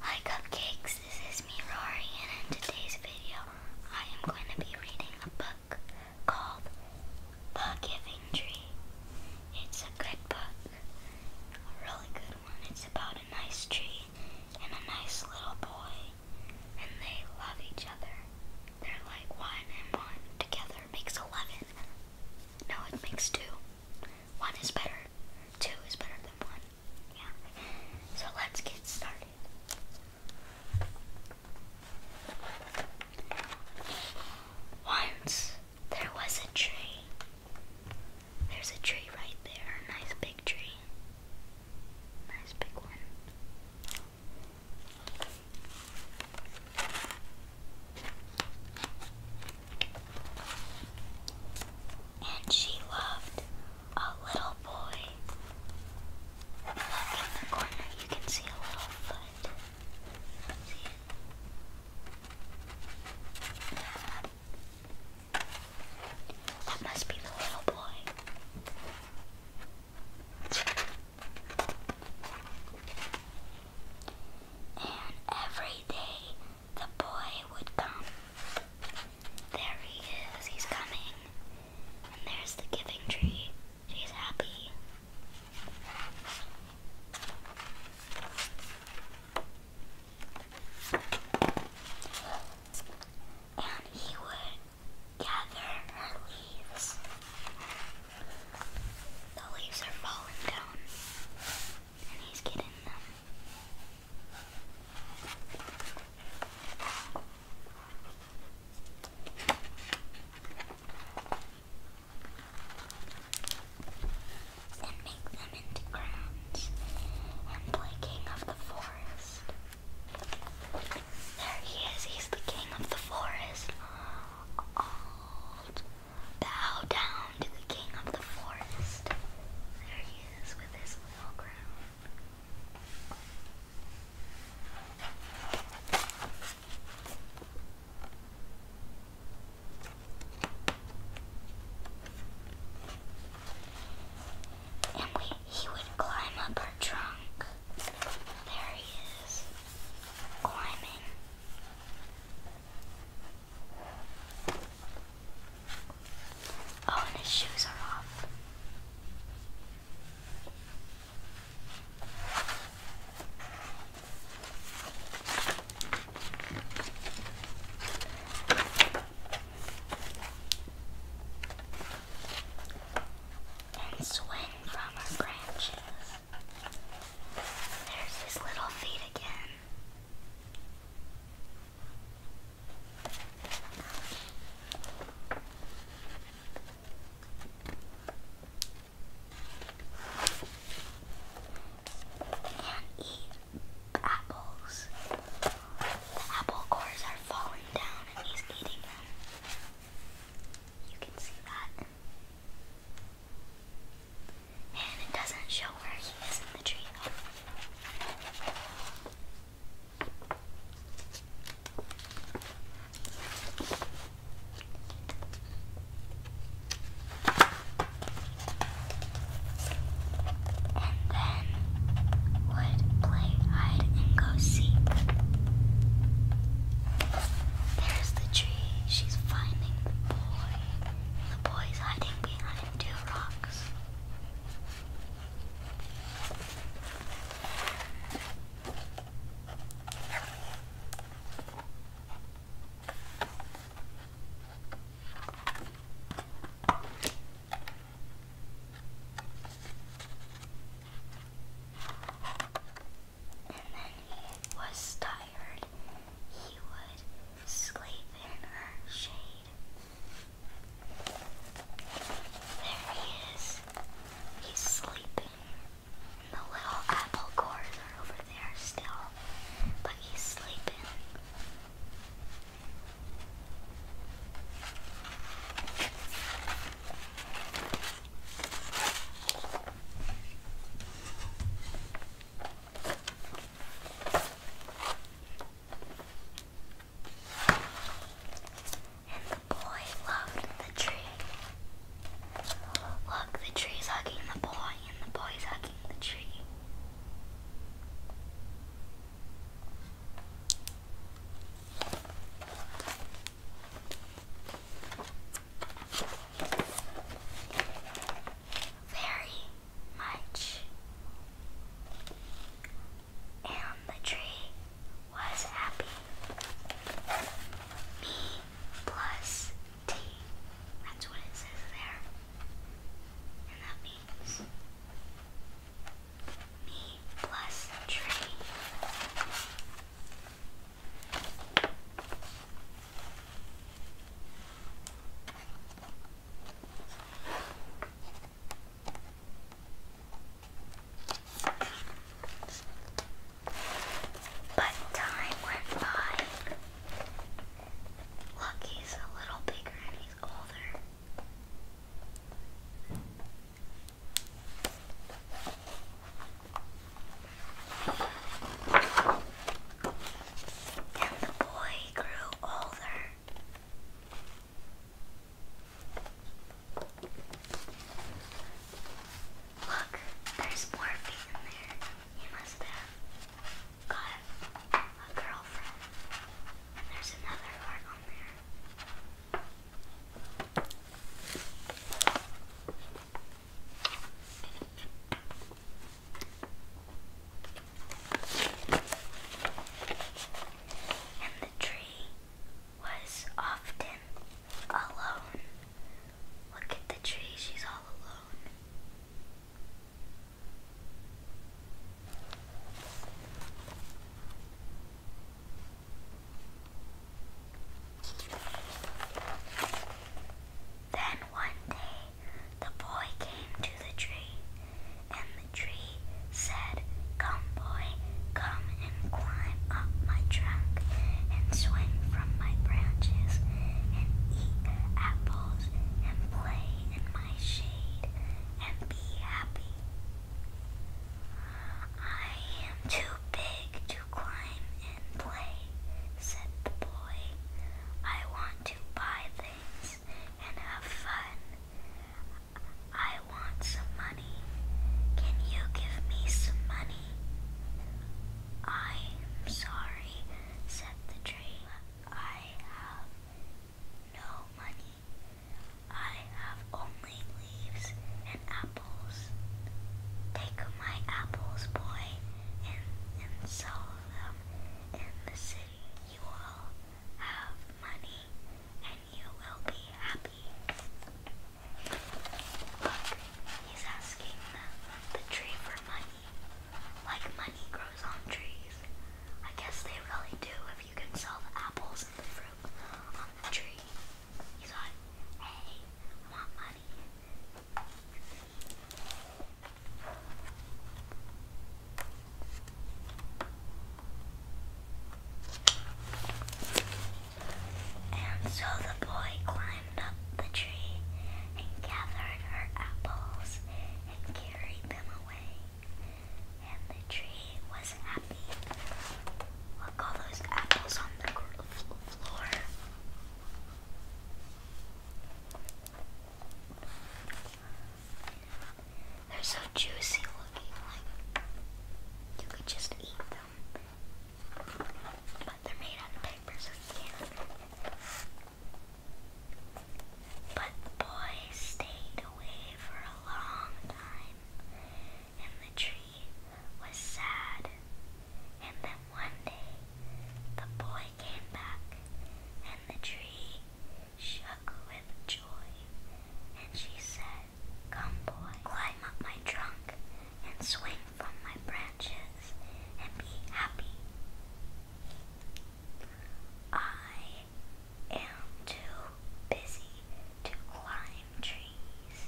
Hi Cupcakes, this is me Rory and in today's video I am going to be reading a book called The Giving Tree. It's a good book, a really good one. It's about a nice tree and a nice little boy and they love each other. They're like one and one together makes eleven. No, it makes two. One is better Two is better than one. Yeah. So let's get started. Once there was a tree. There's a tree right there. nice big tree. Nice big one and she loved a little boy. Look in the corner, you can see a little foot. See it? That must be the little boy. And every day the boy would come. There he is, he's coming. And there's the giving tree. She's happy. And he would gather her leaves. The leaves are falling down. And he's getting them. And make them into crowns and play King of the Forest. There he is, he's the King of the Forest. Old Bow down to the king of the forest. There he is with his little crown. And he would climb up our trunk. There he is, climbing. Oh, and his shoes are off. And swing from our branches. There's his little feet again. And eat apples. Apple cores are falling down and he's eating them. You can see that. And it doesn't show where he is in the tree And then would play hide and go seek. There's the tree. She's finding the boy. The boy's hiding behind two rocks and then he was tired, he would sleep in her shade. There he is. He's sleeping. the little apple cores are over there still, but he's sleeping. And the boy loved the tree. Look, the tree's hugging the boy, and the boy is hugging the tree very much. And the tree was happy. Me plus T. That's what it says there. And that means me plus tree but time went by. Lucky's a little bigger and he's older. And the boy grew older. Look, there's more feet in there. You must have got a girlfriend. there's another heart on there the tree was often alone. Look at the tree, she's all alone. Then one day the boy came to the tree, and the tree said, Come, boy, come and climb up my trunk, and swing from my branches, and eat apples, and play in my shade, and be happy. I am too big to climb and play, said the boy. I want to buy things and have fun. I want some money. Can you give me some money? I'm sorry, said the tree. I have no money. I have only only leaves and apples. Take my apples, boy, and, and sell them in the city. You will have money and you will be happy. Look, he's asking the, the tree for money. Like money grows on trees. I guess they really do if you can sell the apples and the fruit on the tree. And so the boy climbed up the tree and gathered her apples and carried them away. And the tree was Look, all those apples on the floor. They're so juicy looking, like you could just eat them. But they're made out of paper, so you can't. But the stayed away for a long time. And the tree was sad. And then one day the boy came back, and the tree shook with joy. And she said, Come, boy, climb up my trunk and swing from my branches and be happy. I am too busy to climb trees,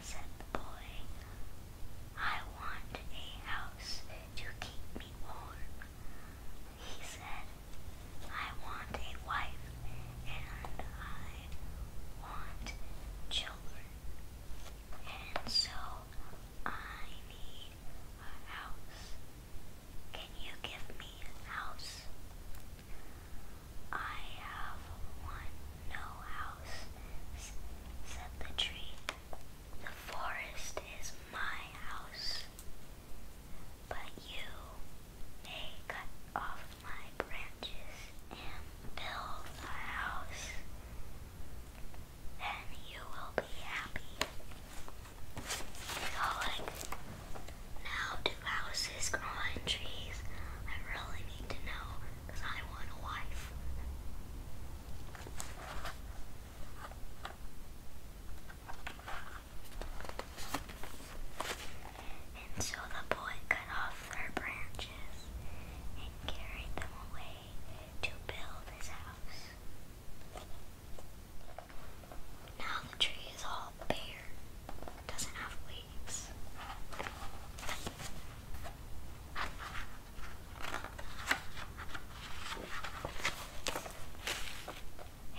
said the boy. I want a house to keep me warm, he said. I want a wife and I want children. And so I need a house. Can you give me a house? I have one no house, said the tree. The forest is my house, but you may cut off my branches and build a house. Then you will be happy. Now, do houses grow on trees? I really need to know I want a wife. And so the boy cut off their branches and carried them away to build his house. Now the tree is all bare, doesn't have leaves.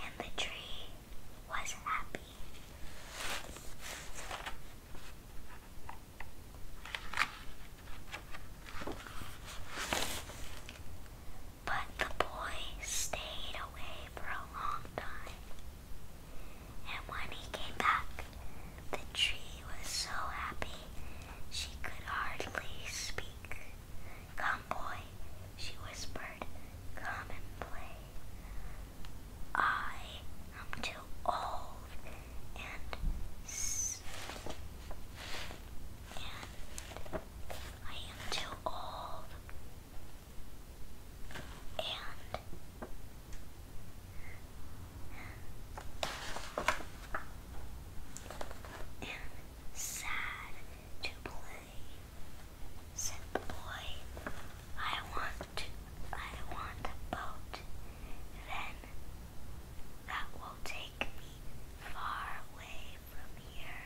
And the tree was happy. But the boy stayed away for a long time. And when he came back, the tree was so happy she could hardly speak. Come, boy, she whispered, come and play. I am too old and, and I am too old and and sad to play. Said the boy, I want I want a boat. Then that will take me far away from here.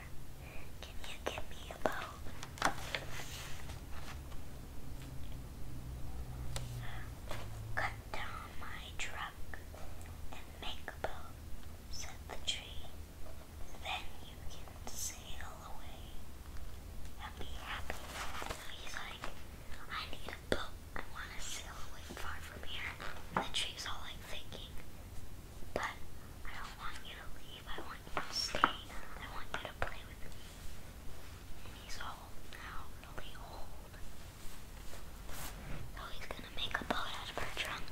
Can you give me a boat? Cut down my truck and make a boat, said the tree. Then you can sail away and be happy. So he's like, I need a boat. I want to sail away far from here. the tree's all like thinking, but I don't want you to leave. I want you to stay. I want you to play with me. And he's old now, really old. So he's gonna make a boat out of her trunk.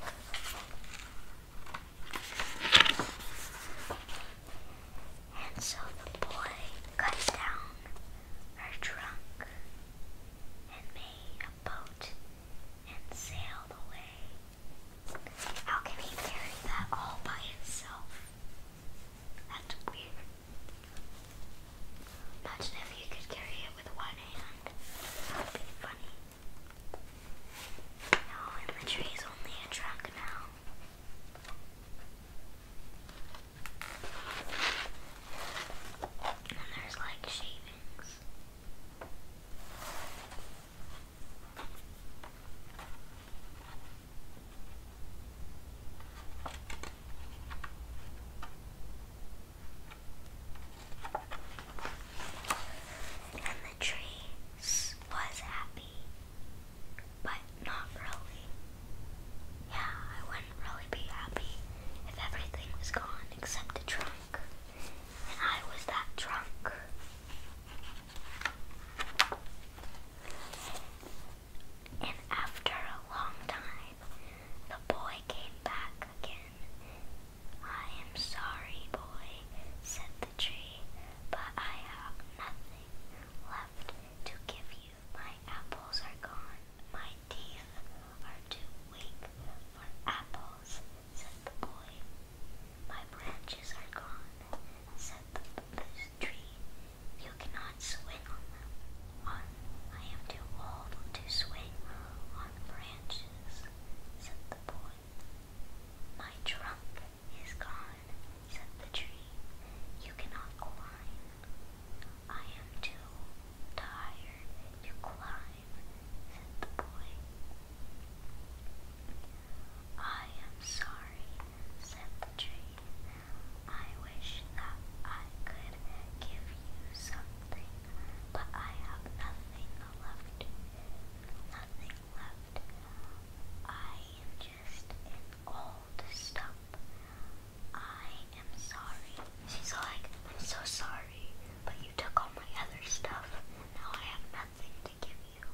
And so the boy cuts down her trunk and made a boat and sailed away how can he carry that all by himself? That's weird. Imagine if you could carry it with one hand. That would be funny. No, and the tree's only a truck now. And there's like shavings. And the tree was happy, but not really. Yeah, I wouldn't really be happy if everything was gone except the trunk. I was that drunk. And after a long time, the boy came back again. I am sorry, boy, said the tree, but I have nothing left to give you. My apples are gone. My teeth are too weak for apples said the boy. My branches are gone, said the, tree. You cannot swing on them. I am too old to swing on branches, said the boy. My trunk is gone, said the tree. You cannot climb. I am too tired to climb I am sorry, said the tree. I wish that I could give you something, but I have nothing left. Nothing left. I am just an old I am sorry. She's like, I'm so sorry but you took all my other stuff, now I have nothing to give you.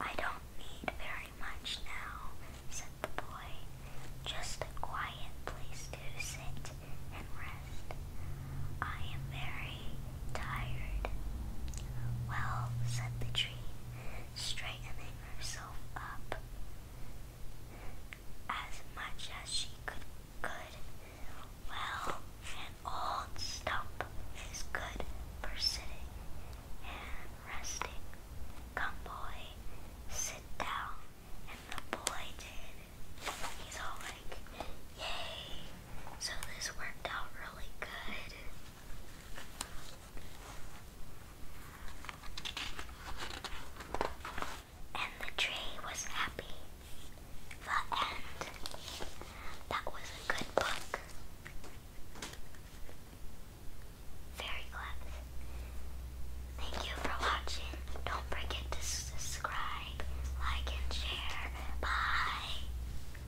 I don't need very much now, said the boy. Just a quiet place to sit and rest. I am very tired. Well, said the tree, straightening herself up as much as she could. Good. Well, an old stump is good for sitting and resting. Come, boy, sit down. And the boy did. He's all like, yay. So this worked out really good. And the tree was happy. The end. That was a good book. Very glad. Thank you for watching. Don't forget to subscribe, like, and share. Bye.